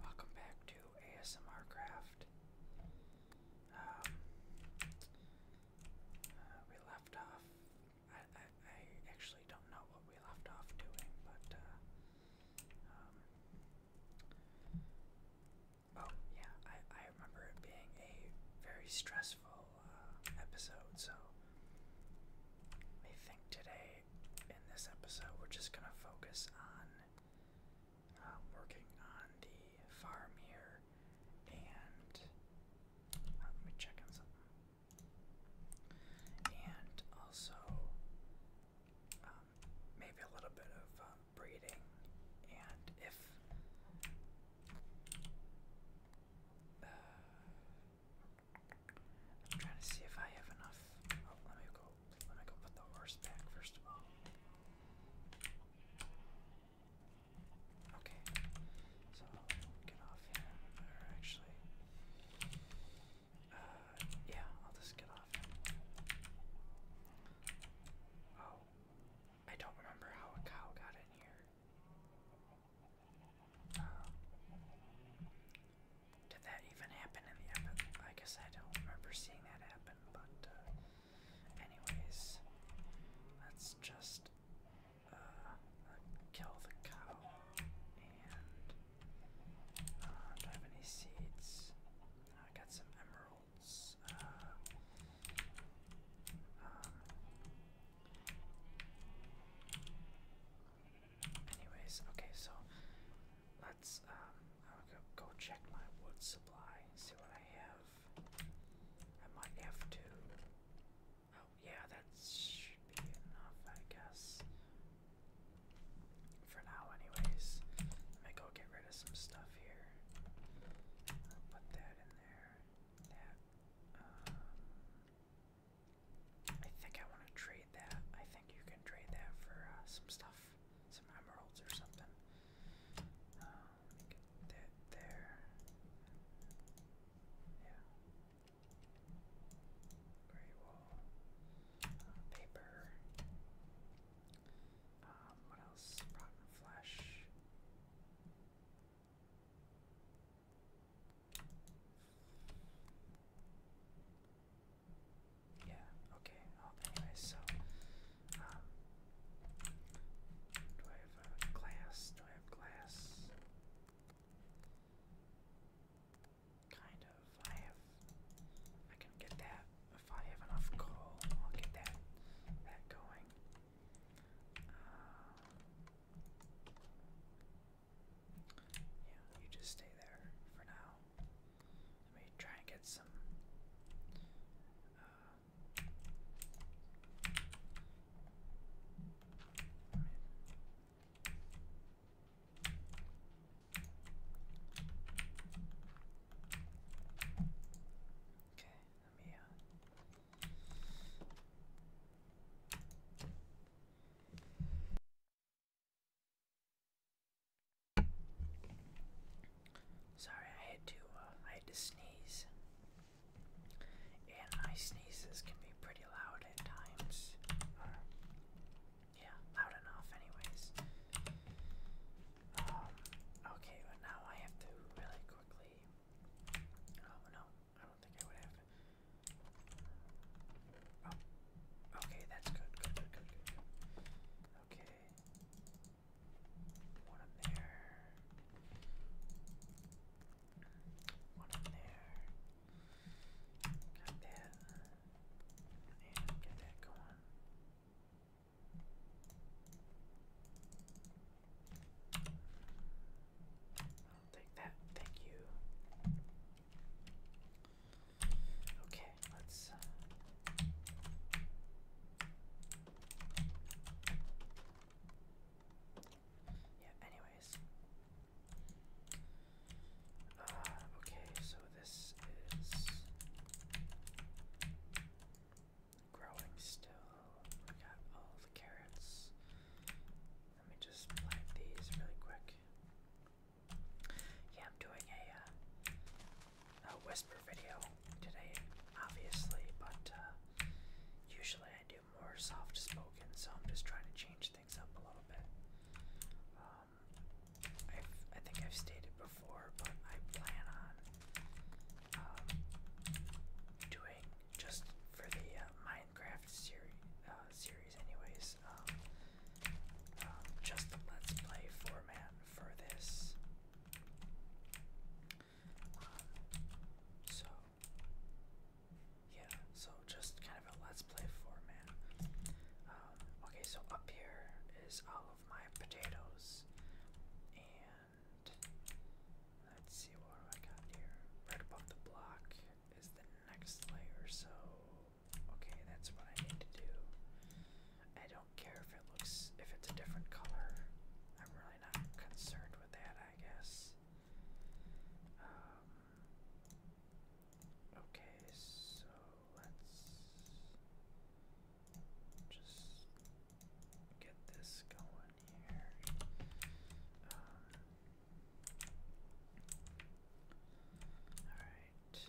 Welcome back to ASMR Craft. Um, uh, we left off. I, I actually don't know what we left off doing, but uh, um, oh yeah, I I remember it being a very stressful episode. So I think today, in this episode, we're just gonna focus on um, working on the farm here. And uh, let me check on something. And also, um, maybe a little bit of uh, breeding. And if uh, I'm trying to see if I have enough. Oh, let me go. Let me go put the horse back first of all. Okay, so get off him. actually, uh, yeah, I'll just get off Oh, I don't remember how a cow got in here did that even happen in the episode? I guess I don't remember seeing that happen, but uh, anyways, let's just uh, kill the cow and uh, do I have any seeds? I got some emeralds. Um, Anyways, okay, so let's um go, check my wood supply, see what I have. I might have to Oh yeah, that should be enough, I guess. For now anyways. Let me go get rid of some stuff here. put that in there. That um, I think I want to trade that. I think you can trade that for uh, some stuff, some emeralds or something. Uh, get there. Yeah. Great wall. Uh, paper. Um, what else? Rotten flesh. Yeah, okay. Oh, anyway, so, um, do I have uh, glass? Do I have glass? Kind of. I have, I can get that. If I have enough coal, I'll get that, that going. Uh, yeah, you just stay there for now. Let me try and get some. Uh, I mean, Okay, let me uh, Sorry, I had to. Uh, I had to sneeze, and my sneezes can be pretty loud at times. yeah, loud enough, anyways. Um, okay, but now I have to really quickly. Oh no, I do oh, okay, that's good. Okay, one up there, one up there. Got that, and get that going take that. Thank you. Okay, let's. Uh, yeah, anyways. Uh, okay, so this is growing still. We got all the carrots. Let me just light these really quick. Yeah, I'm doing a, uh, a whisper video today, obviously, but uh, usually I do more soft spoken, so I'm just trying to change things up a little bit. Um, i think I've stated before, but I plan on um, doing just for the uh, Minecraft series, uh, series anyways. Um, um, just the let's play format for this. Um, so yeah, so just kind of a let's play format. okay, so up here is all of my potatoes, and let's see what do I got here. Right above the block, is the next layer, so okay, that's what I need to do. I don't care if it looks if it's a different color. I'm really not concerned with that, I guess. Um, okay, so let's just get this going here. Um, Alright.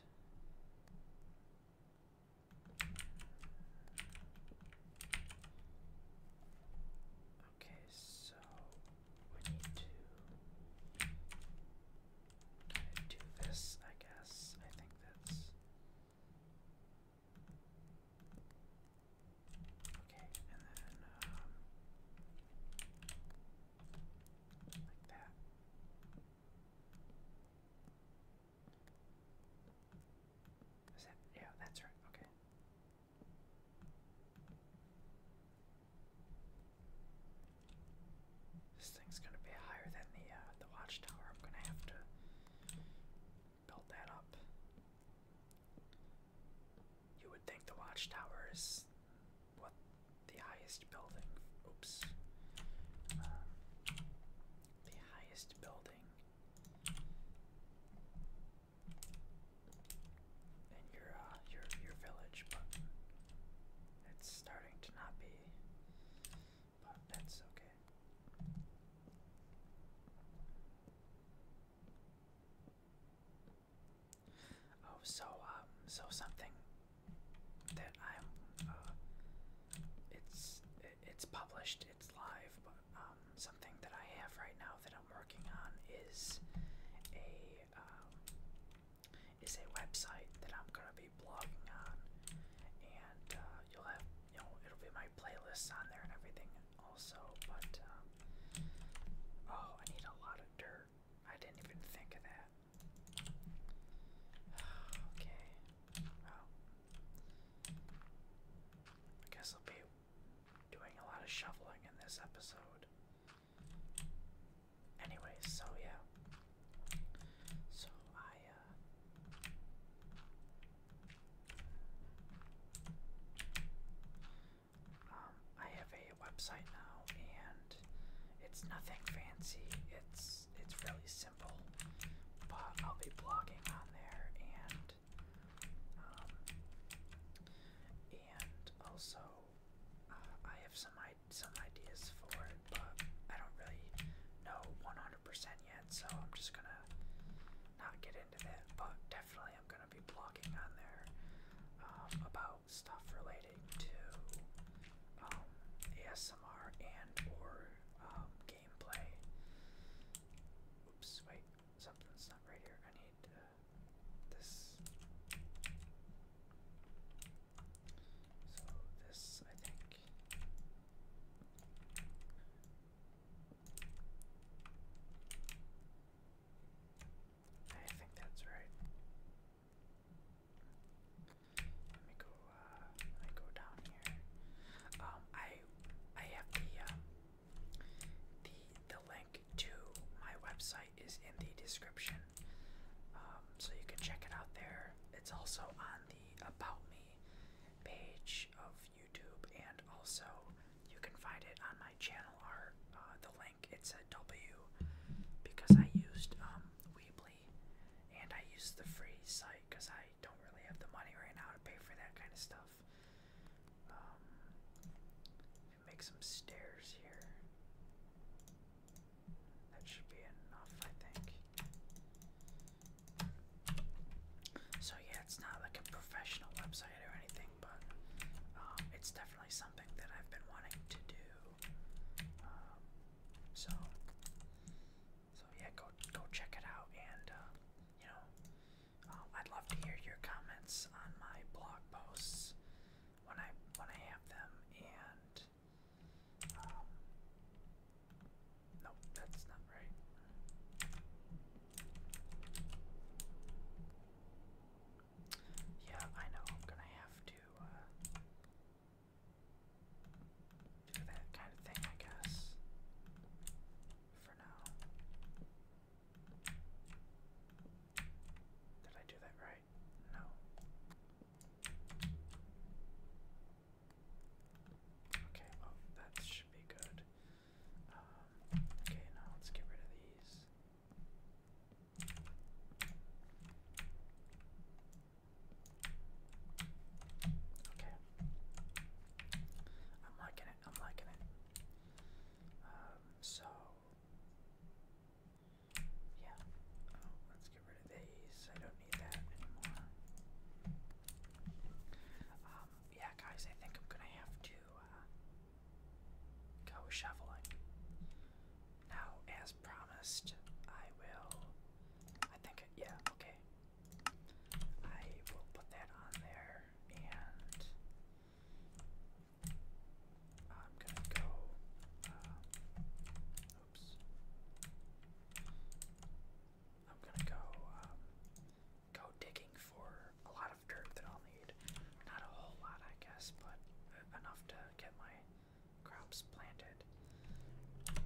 Okay, so we need to do this, I guess. I think that's. Okay, and then um, like that yeah? That's right. Okay. This thing's gonna be higher than the uh, the watchtower. I'm gonna have to build that up. You would think the watchtower is what the highest building. Oops. the highest building in your uh, your your village, but it's starting to not be. But that's okay. Oh, so um, so something that I'm uh, it's it's published, it's live, but um, something that I have right now that I'm working on is a um, is a website that I'm gonna be blogging on, and uh, you'll have you know it'll be my playlists on there and everything also, but. Um, Oh, I need a lot of dirt. I didn't even think of that. Okay. Well, I guess I'll be doing a lot of shoveling in this episode. Anyways, so yeah. So I, uh,. Um, I have a website now, and it's nothing fancy. It's it's really simple, but I'll be blogging on there, and um, and also uh, I have some I some ideas for it, but I don't really know 100% yet, so I'm just gonna not get into that. But definitely, I'm gonna be blogging on there um, about stuff relating to um, ASMR and or um, gameplay. Oops, wait, something's not right here. I need uh, this. So this, I think. I think that's right. Let me go. Uh, let me go down here. Um, I I have the um, the the link to my website is in the description, um, so you can check it out there. It's also on the about me page of YouTube, and also you can find it on my channel art. Uh, the it's a W because I used um, Weebly and I used the free site because I don't really have the money right now to pay for that kind of stuff. Um, make some stairs here. That should be enough, I think. So yeah, it's not like a professional website or anything, but um, it's definitely something that I've been wanting to do. Um, so, so yeah, go go check it out, and uh, you know, um, I'd love to hear your comments on my blog posts when I when I have them. And um, that's not right. Yeah, I know I'm gonna have to uh, do that kind of thing, I guess, for now. Did I do that right? No. Okay, well, that should be good. Um, okay, now let's get rid of these. Okay. I'm liking it. I'm liking it. Um, so yeah. Oh, let's get rid of these. I don't need that anymore. Um, yeah, guys, I think I'm gonna have to uh, Go shoveling. Now, as promised, I will. I think, yeah, okay. I will put that on there and. I'm gonna go. Uh, oops. I'm gonna go um, go digging for a lot of dirt that I'll i not a whole lot, I guess, but enough to get my crops planted.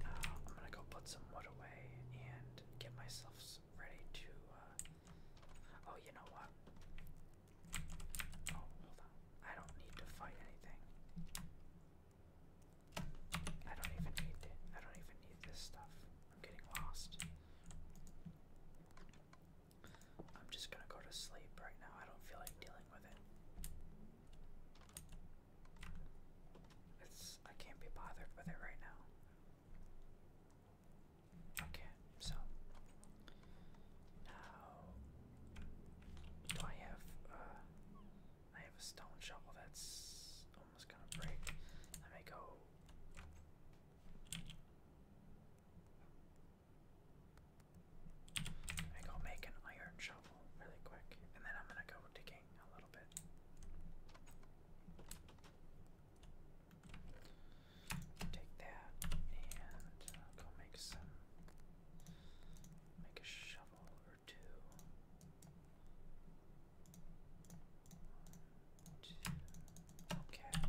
Uh, I'm gonna go put some wood away and get myself ready to. Uh, oh, you know what? Oh, hold on. I don't need to fight anything. I don't even need to, I don't even need this stuff. I'm getting lost. I'm just gonna go to sleep right now. I don't feel like dealing with it. It's I can't be bothered with it right now. Okay, so now do I have uh I have a stone shovel that's almost gonna break. Let me go I go make an iron shovel really quick, and then I'm gonna go digging a little bit. Take that and uh, go make some. Make a shovel or two. Okay.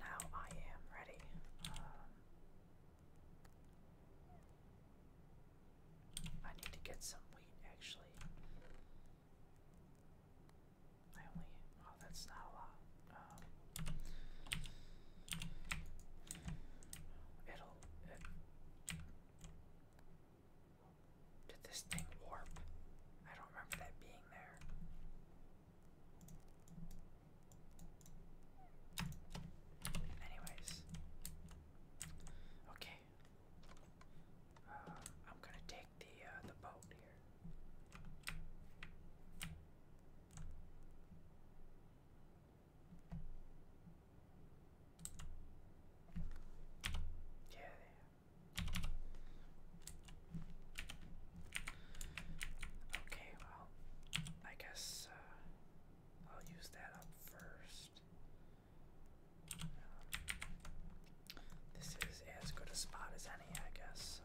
Now I am ready. Um, I need to get some wheat actually. I only. Oh, that's not a lot. Um, it'll. did this thing warp? I don't remember that being there. Anyways, okay. Uh, I'm gonna take the uh, the boat here. Yeah. Okay, well, I guess uh, I'll use that up first. Um, this is as good a spot as any, I guess, so.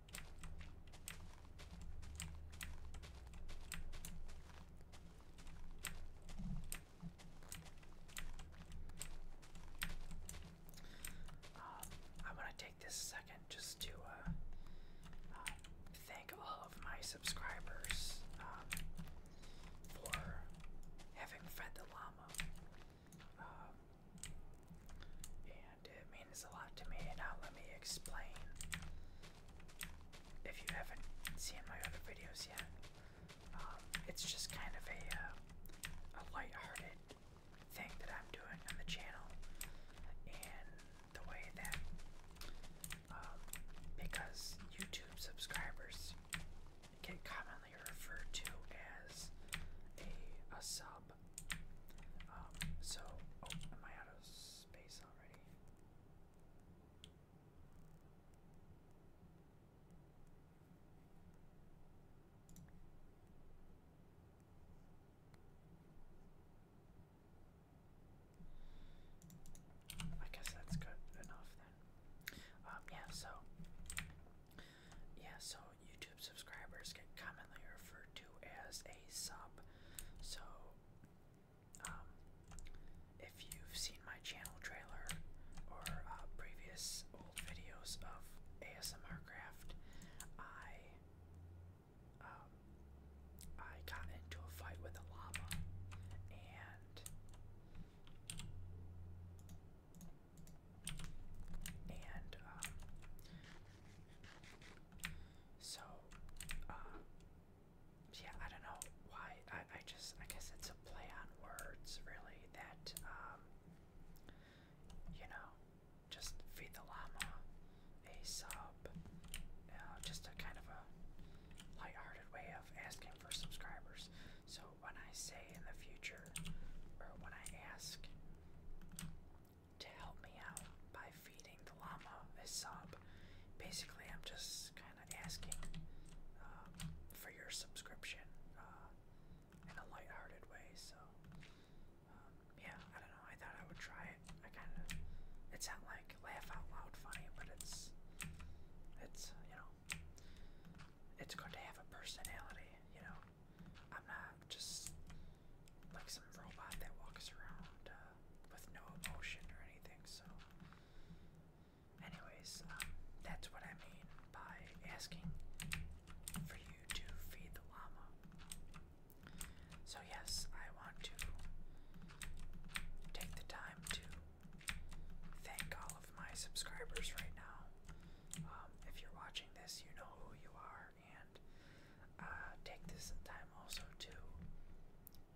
I want to take this second just to uh, uh, thank all of my subscribers um, for having fed the llama. Um, it means a lot to me. Now, let me explain. If you haven't seen my other videos yet, um, it's just kind of a, uh, light-hearted thing that I'm doing on the channel, and the way that, um, because YouTube subscribers get commonly referred to as a, a sub, um, so, oh, am I out of space I guess that's good enough then. Um, yeah, so, yeah, so YouTube subscribers get commonly referred to as a sub. So, um, if you've seen my channel trailer or uh, previous old videos of ASMR craft, I um, I got into a fight with a llama and and um, so, um, yeah, I don't know why. I, I just, I guess it's a play on words, really, that, um, you know, just feed the llama a sub, uh, just a kind of a lighthearted way of asking for subscribers. So, when I say in the future, or when I ask, to help me out by feeding the llama a sub. Basically, I'm just kind of asking um, for your subscription uh, in a lighthearted way. So, um, yeah, I don't know. I thought I would try it. I kind of, it's not like laugh out loud funny, but it's, it's uh, you know, it's good to have a personality. You know, I'm not just like some robot that walks around uh, with no emotion or anything. So, anyways, um, that's what I mean by asking for you to feed the llama. So, yes, I want to take the time to thank all of my subscribers right now. Um, if you're watching this, you know who you are, and uh, take this time also to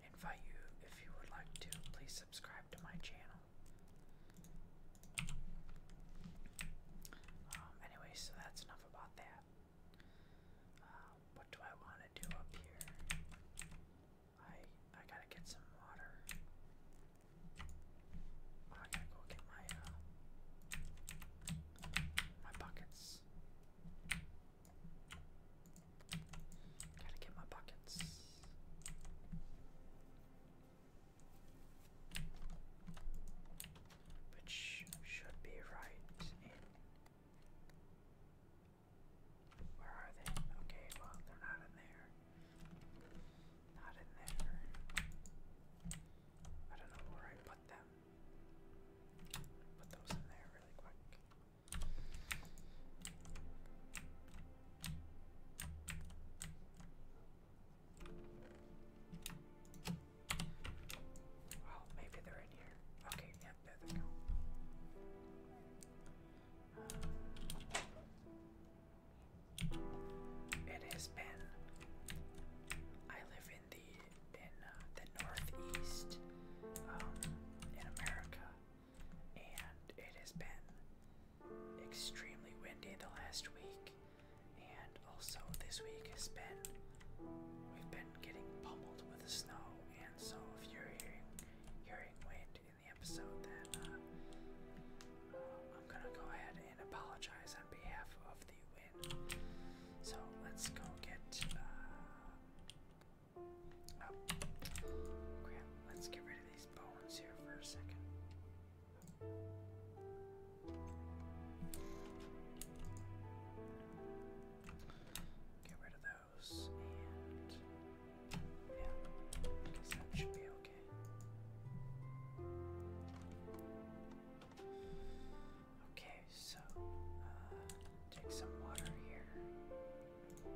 invite you if you would like to please subscribe to my channel. Um, anyway, so that's enough about that. Uh, what do I want to do up here? I I gotta get some water. I gotta go get my uh, my buckets. Gotta get my buckets. Which should be right in. Where are they? Okay, well, they're not in there. Not in there. I don't know where I put them. Put those in there really quick. Oh, maybe they're in here. Okay, yep, there they go. Uh, it has been. I live in the in uh, the Northeast um, in America, and it has been extremely windy the last week, and also this week has been we've been getting pummeled with the snow, and so if you're hearing hearing wind in the episode, then uh, uh, I'm gonna go ahead and apologize on behalf of the wind. So let's go get let's get rid of these bones here for a second. Get rid of those, and yeah, I guess that should be okay. Okay, so uh, take some water here. Oops.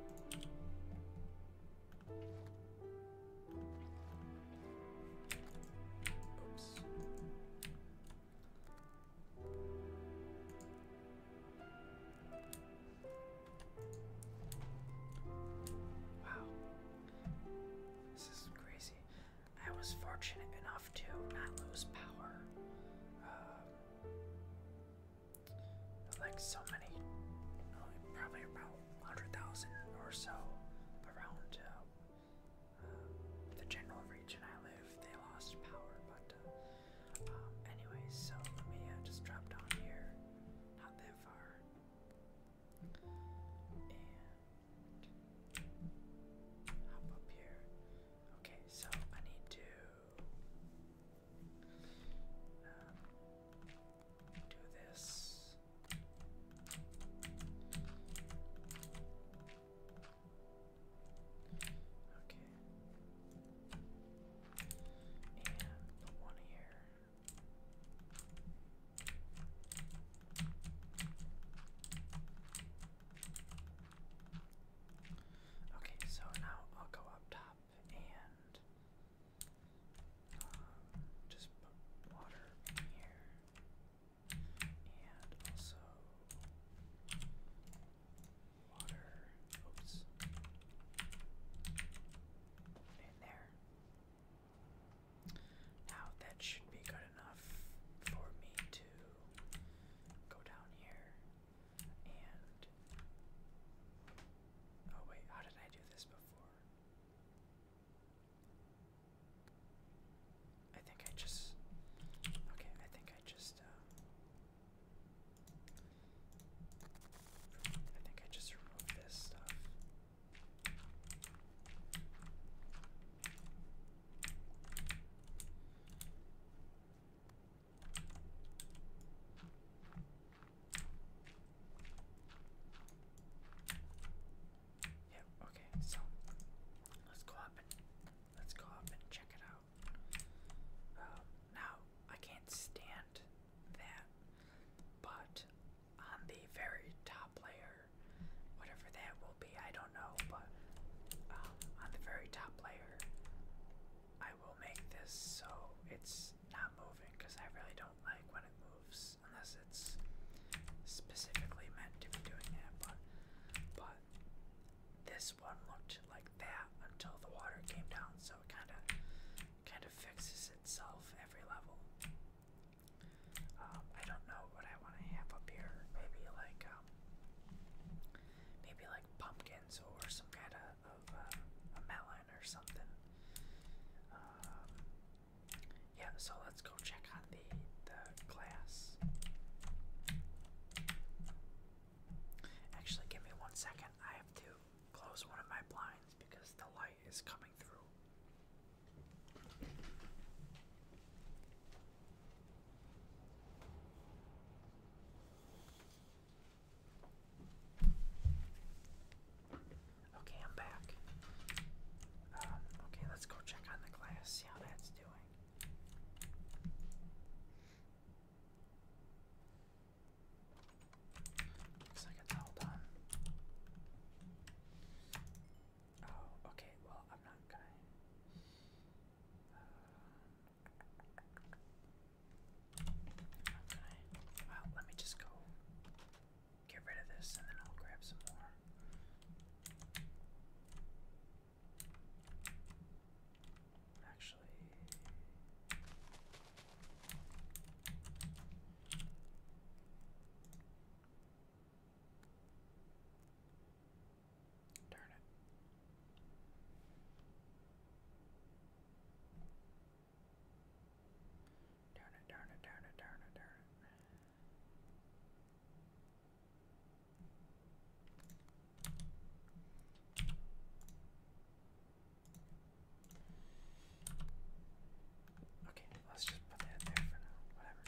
Wow. This is crazy. I was fortunate enough to not lose power. Um, like so many, probably about 100,000 or so around uh, uh, the general region I live, they lost power. But, uh, um, anyway, so let me just drop down here, not that far. And hop up here. Okay, so I need to um, do this. Okay. And the one here. Okay, so now I'll go up top and um, just water here, and also water. Oops, in there. Now that should be good enough for me to go down here and oh wait, how did I do this before? I think I just okay. I think I just uh, I think I just removed this stuff. Yep, okay, so let's go up and let's go up and check it out. Um, now I can't stand that, but on the very top layer, whatever that will be, I don't know, but um, on the very top layer, I will make this so it's not moving because I really don't like when it moves unless it's specifically meant to be doing that. But, but this one looked like that until the water came down, so it kind of kind of fixes itself every level. Um, I don't know what I want to have up here. Maybe like um, maybe like pumpkin or some kind of, uh, melon or something. Um, yeah, so let's go check on the the glass. Actually, give me one second. I have to close one of my blinds because the light is coming through. Okay, I'm back. Um, okay, let's go check on the glass, see how that's doing. Looks like it's all done. Oh, okay, well, I'm not going uh, well, let me just go get rid of this and then I'll grab some more. Actually, Darn it. Darn it, darn it, darn it, darn it. Okay, let's just put that there for now. Whatever.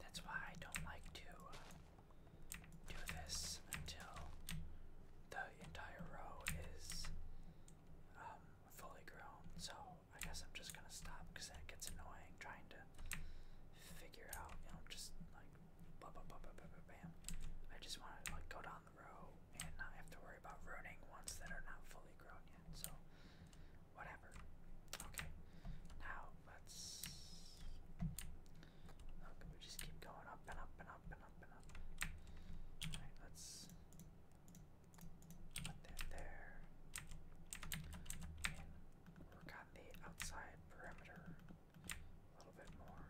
That's why I don't like to uh, do this until the entire row is um, fully grown. So I guess I'm just gonna stop because that gets annoying trying to figure out, you know, just like blah blah blah blah blah blah bam. I just wanna like go down the row and not have to worry about ruining ones that are not fully grown yet, so whatever. Okay. Now let's look we just keep going up and up and up and up and up. Alright, let's work on the outside perimeter a little bit more.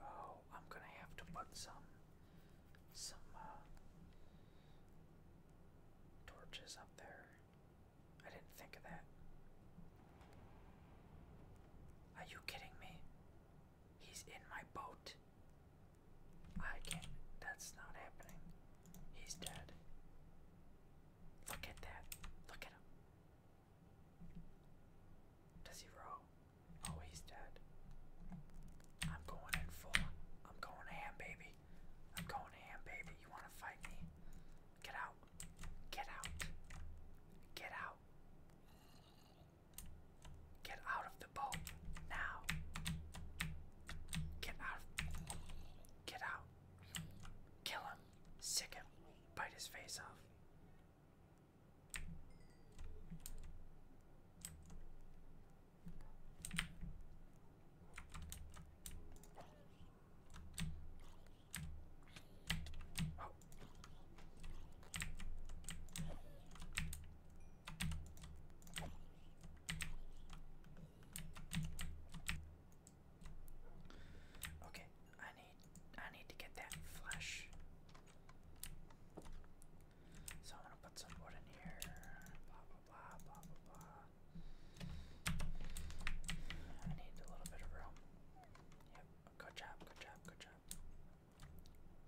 Oh, I'm gonna have to put some some uh, Torches up there. I didn't think of that. Are you kidding me? He's in my boat. I can't. That's not happening. He's dead. Look at that. Look at him. Does he row? Oh, he's dead. I'm going in full. I'm going ham, baby. I'm going ham, baby. You want to fight me? Get out. Get out. Get out. Get out of the boat now. Get out. Of, get out. Kill him. Sick him. Bite his face off. Oh. Okay, I need I need to get that flesh. So I am going to put some wood in here. Blah blah blah blah blah blah. I need a little bit of room. Yep. Good job. Good job. Good job.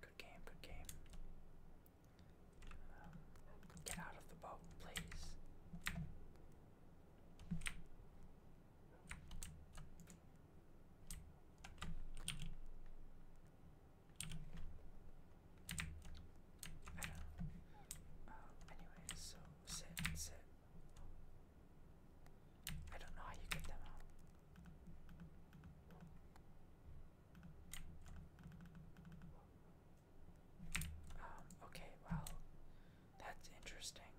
Good game. Good game. Um, get out of the boat, please. I don't know. anyway, so sit, sit. I don't know how you get them out. Um, okay, well, that's interesting.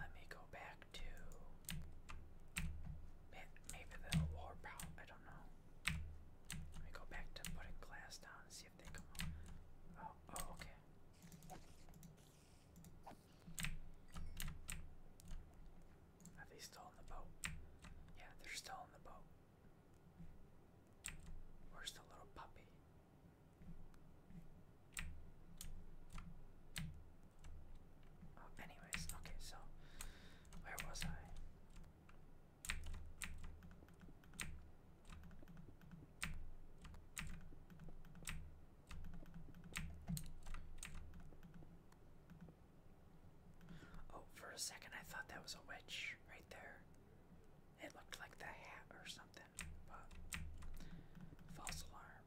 Let me go back to. Maybe the war I don't know. Let me go back to putting glass down and see if they come Oh, oh, okay. Are they still in the boat? Yeah, they're still in the boat. Where's the little puppy? Oh, anyways, okay, so where was I? Oh, for a second I thought that was a witch right there. It looked like the hat or something, false alarm.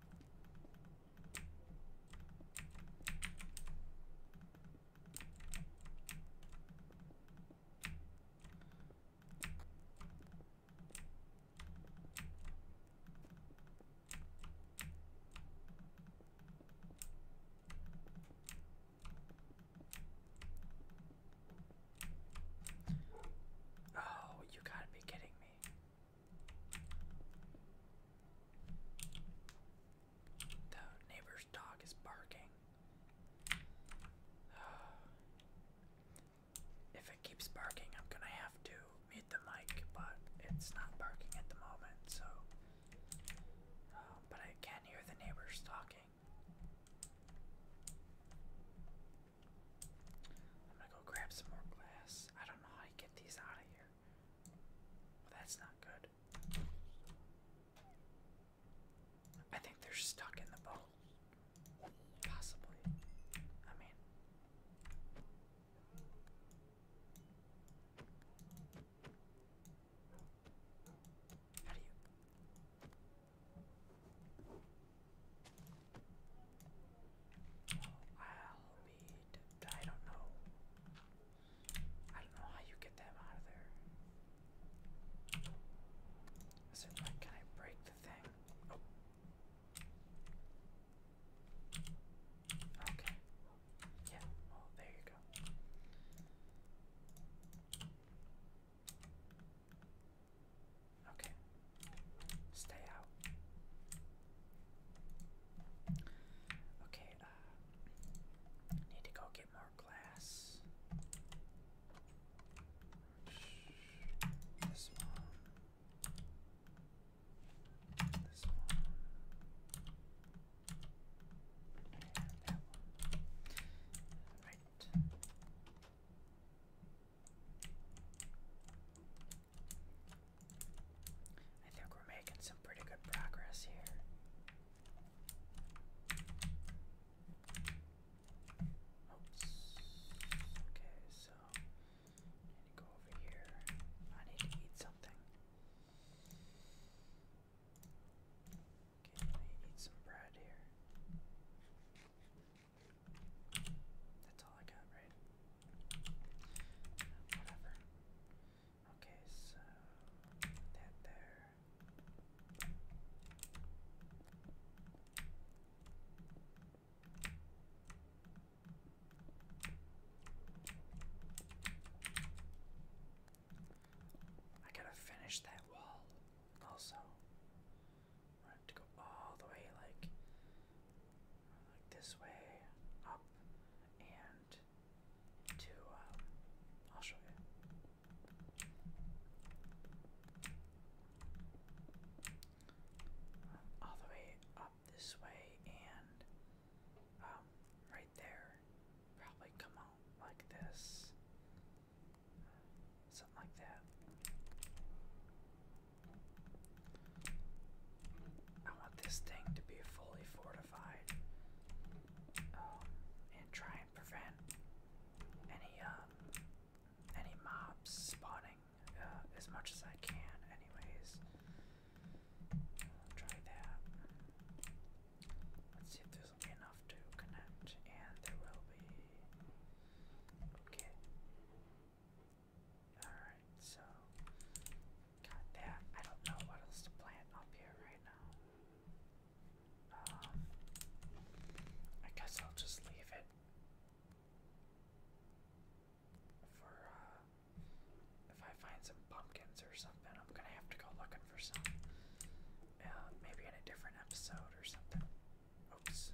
Oh, you gotta be kidding me. The neighbor's dog is barking. If it keeps barking, I'm gonna have to mute the mic, but it's not barking at the moment, so. Uh, but I can hear the neighbors talking. I'm gonna go grab some more glass. I don't know how you get these out of here. Well, that's not good. I think they're stuck in the boat. Possibly. I mean. How do you. I'll need. I don't know. I don't know how you get them out of there. Is it can I break the thing? Oh. Okay. Yeah. Well, oh, there you go. Okay. Stay out. Okay, uh, need to go get more glass. This one. This one. Right. I think we're making some pretty good progress here. Oops. Okay, so I need to go over here. I need to eat something. Okay, let me some bread here. That's all I got, right? Whatever. Okay, so that there. I gotta finish that wall also. I have to go all the way like like this way, up, and to, um, I'll show you. All the way up this way, and, um, right there, probably come out like this. Something like that. I want this thing to be fully fortified um, and try and prevent any um, any mobs spawning uh, as much as I can. Anyways, try that. Let's see if there's enough to connect, and there will be. Okay. Alright, so got that. I don't know what else to plant up here right now. Um I guess I'll just leave it for uh if I find some pumpkins or something, I'm gonna have to go looking for some. Uh, maybe in a different episode or something. Oops.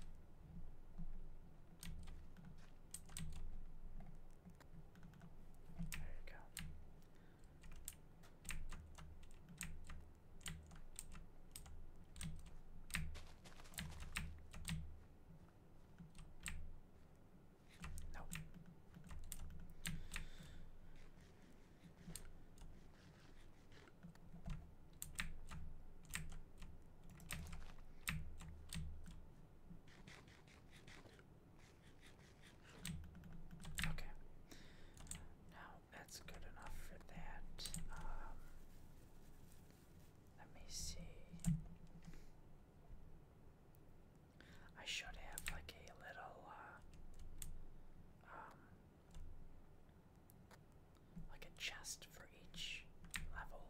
There you go. No. Okay. Now that's good enough for that. Um, let me see. I should have like a little, uh, um, like a chest for each level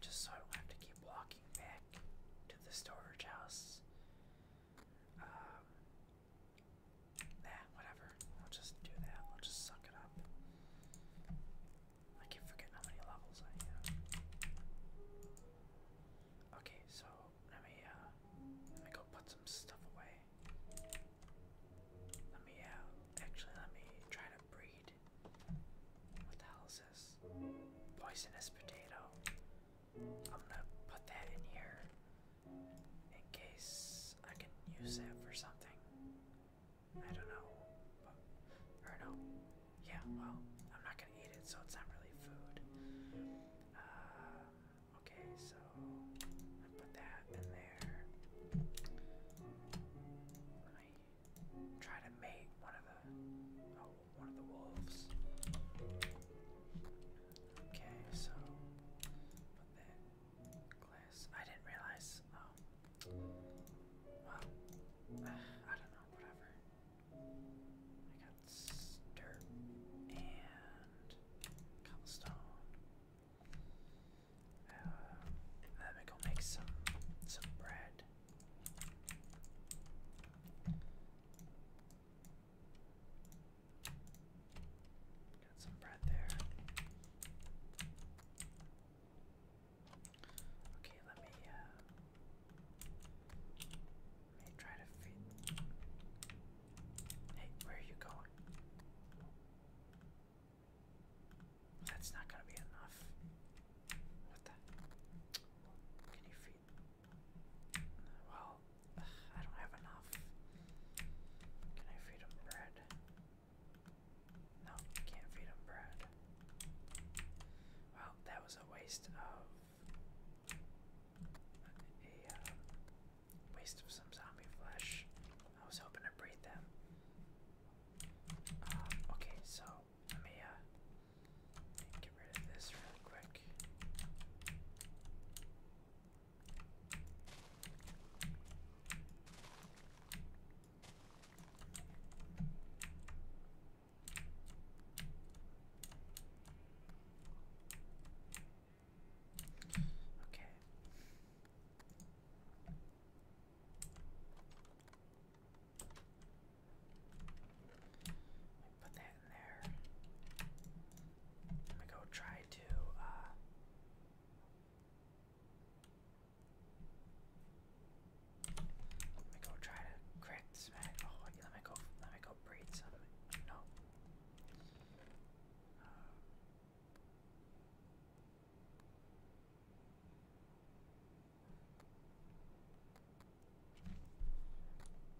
just so I don't have to keep walking back to the storage house. Um, whatever. I'll just do that. I'll just suck it up. I keep forgetting how many levels I have. Okay, so let me uh, let me go put some stuff away. Let me uh, actually let me try to breed what the hell is this? Poisonous potato. I'm gonna put that in here in case I can use that for something. I don't know. or no. Yeah, well, I'm not gonna eat it, so it's not really food. Uh, okay, so I put that in there try to mate one of the oh, one of the wolves. Okay, so glass. I didn't realize. Um, well, I don't know. Whatever. I got dirt and cobblestone. Uh, let me go make some some bread. Got some bread there. Okay, let me uh let me try to feed Hey, where are you going? That's not gonna be enough. What the? Can you feed? Well, I don't have enough. Can I feed him bread? No, can't feed him bread. Well, that was a waste of a uh, waste of some zombie flesh. I was hoping to breed them. Uh, okay, so let me uh, get rid of this real quick. Okay. Put that in there. I'm go try to uh, let me go try to crack this Oh, let me go. Let me go breed some. No.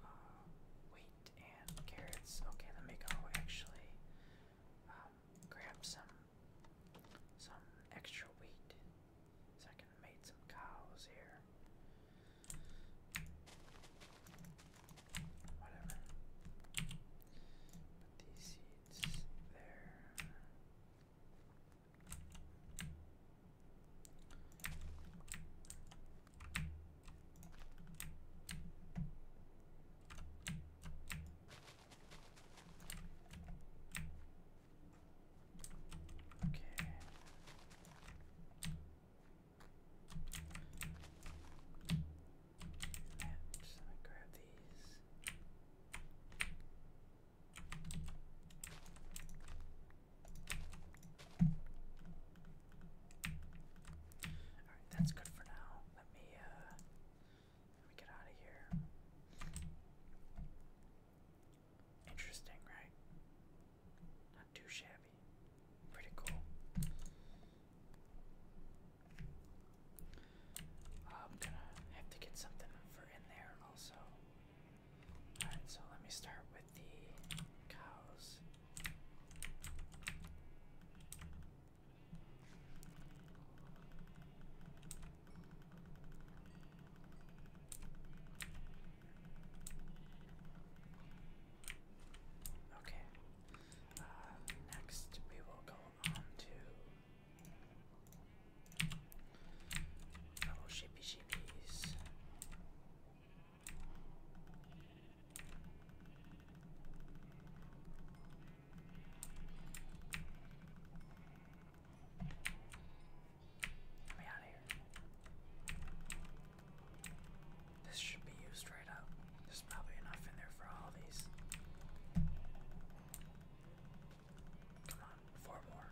Uh, wheat and carrots. Okay, let me go actually um, grab some some extra wheat so I can make some cows here. Whatever. Put these seeds there. Okay. And let me grab these that's good for now. Let me uh let me get out of here. Interesting, right? Not too shabby. Pretty cool. I'm gonna have to get something for in there also. Alright, so let me start with the cows. Okay. Uh, next, we will go on to Oh, shippy shippies. Let me out of here. This should be used right up. There's probably enough in there for all of these. Come on, four more.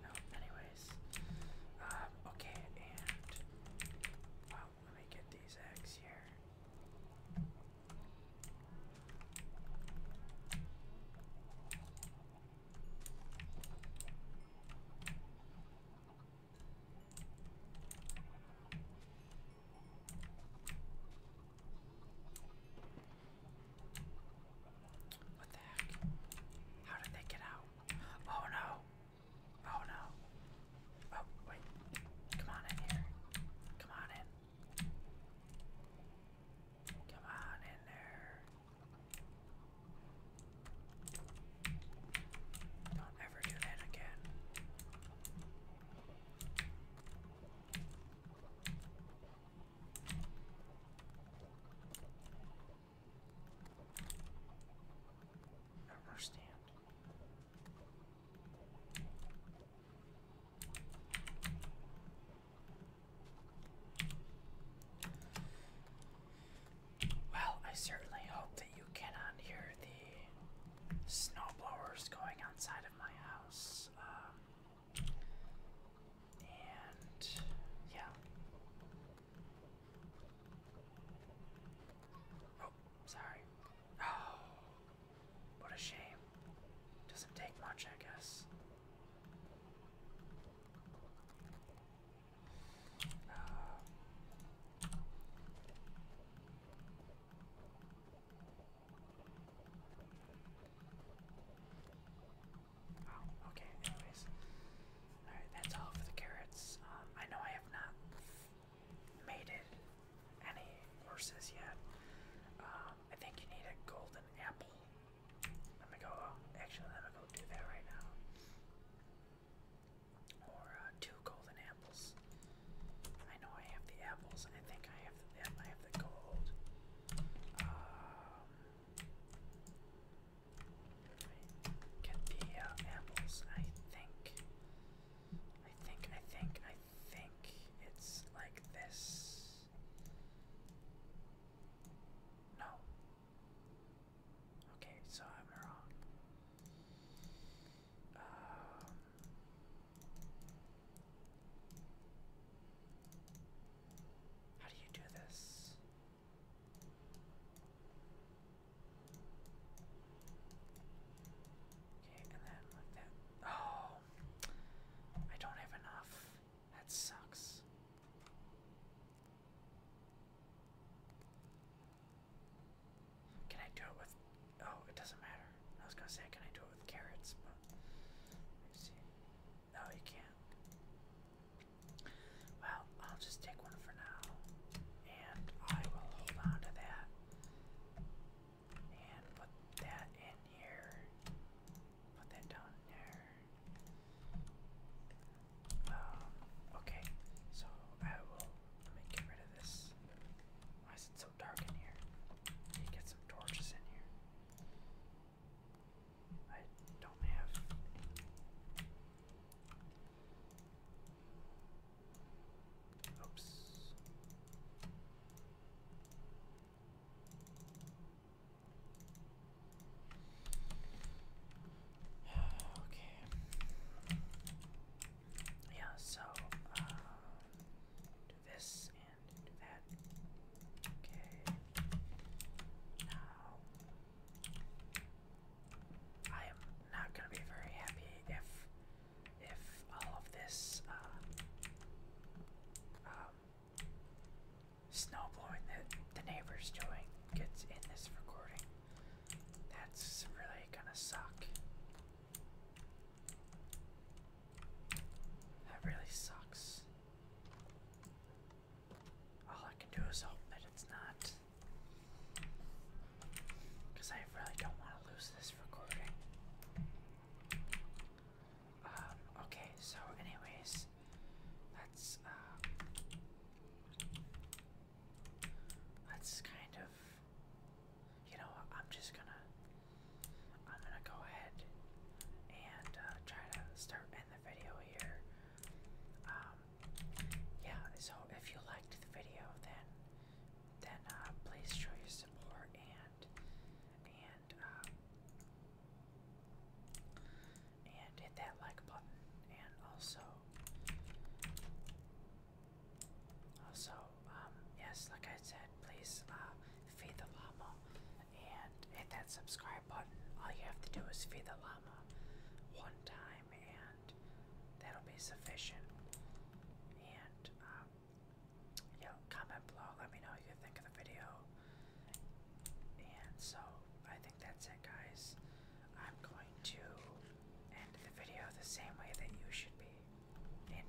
No, no, anyways. Um, okay, and uh, wow, let me get these eggs here. Um, uh, what the heck? How did they get out? Oh no! Oh no! Oh, wait. Come on in here. Come on in. Come on in there. Don't ever do that again. I understand. Well, I certainly hope that you cannot hear the snowblowers going outside of my house. Um, and yeah. Oh, sorry. Oh, what a shame. Doesn't take much, I guess. Oh, okay, anyways. Alright, that's all for the carrots. Um, I know I have not mated any horses yet. Um, I think you need a golden apple. Let me go, actually, let me go do that right now or uh, two golden apples. I know I have the apples, I think I have the I have the gold. Um, get the uh, apples. I think. I think. I think. I think it's like this. No, Okay, so I'm wrong. Um, how do you do this? Okay, and then like that. Oh, I don't have enough. That sucks. Can I do it with. Oh, it doesn't matter. I was gonna say, can I do it with carrots? But. Let me see. No, you can't. Well, I'll just take one for now. And I will hold on to that. And put that in here. Put that down there. Um, okay, so I will get rid of this. Why is it so dark in here? Let me get some torches in here. I don't have. Oops. okay. Yeah, so uh, this and that. Okay. Now I am not gonna be very happy if if all of this uh, um, snow blowing that the neighbor's doing gets in this recording. That's really gonna suck. That really sucks. All I can do is hope that it's not. Because I really don't want to lose this recording. Um, okay, so, anyways, that's. uh, that's kind of you know, I'm just gonna I'm gonna go ahead and uh, try to start end the video here. Um yeah, so if you liked the video then then uh please show your support and and uh and hit that like button and also so, um, yes, like I said, please uh, feed the llama and hit that subscribe button. All you have to do is feed the llama one time, and that'll be sufficient. And um, comment below, let me know what you think of the video. And so, I that's it, guys. I'm going to end the video the same way that you should be in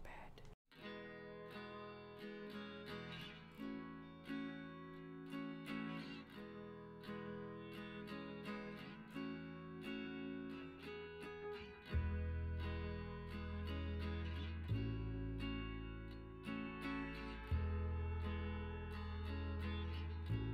bed.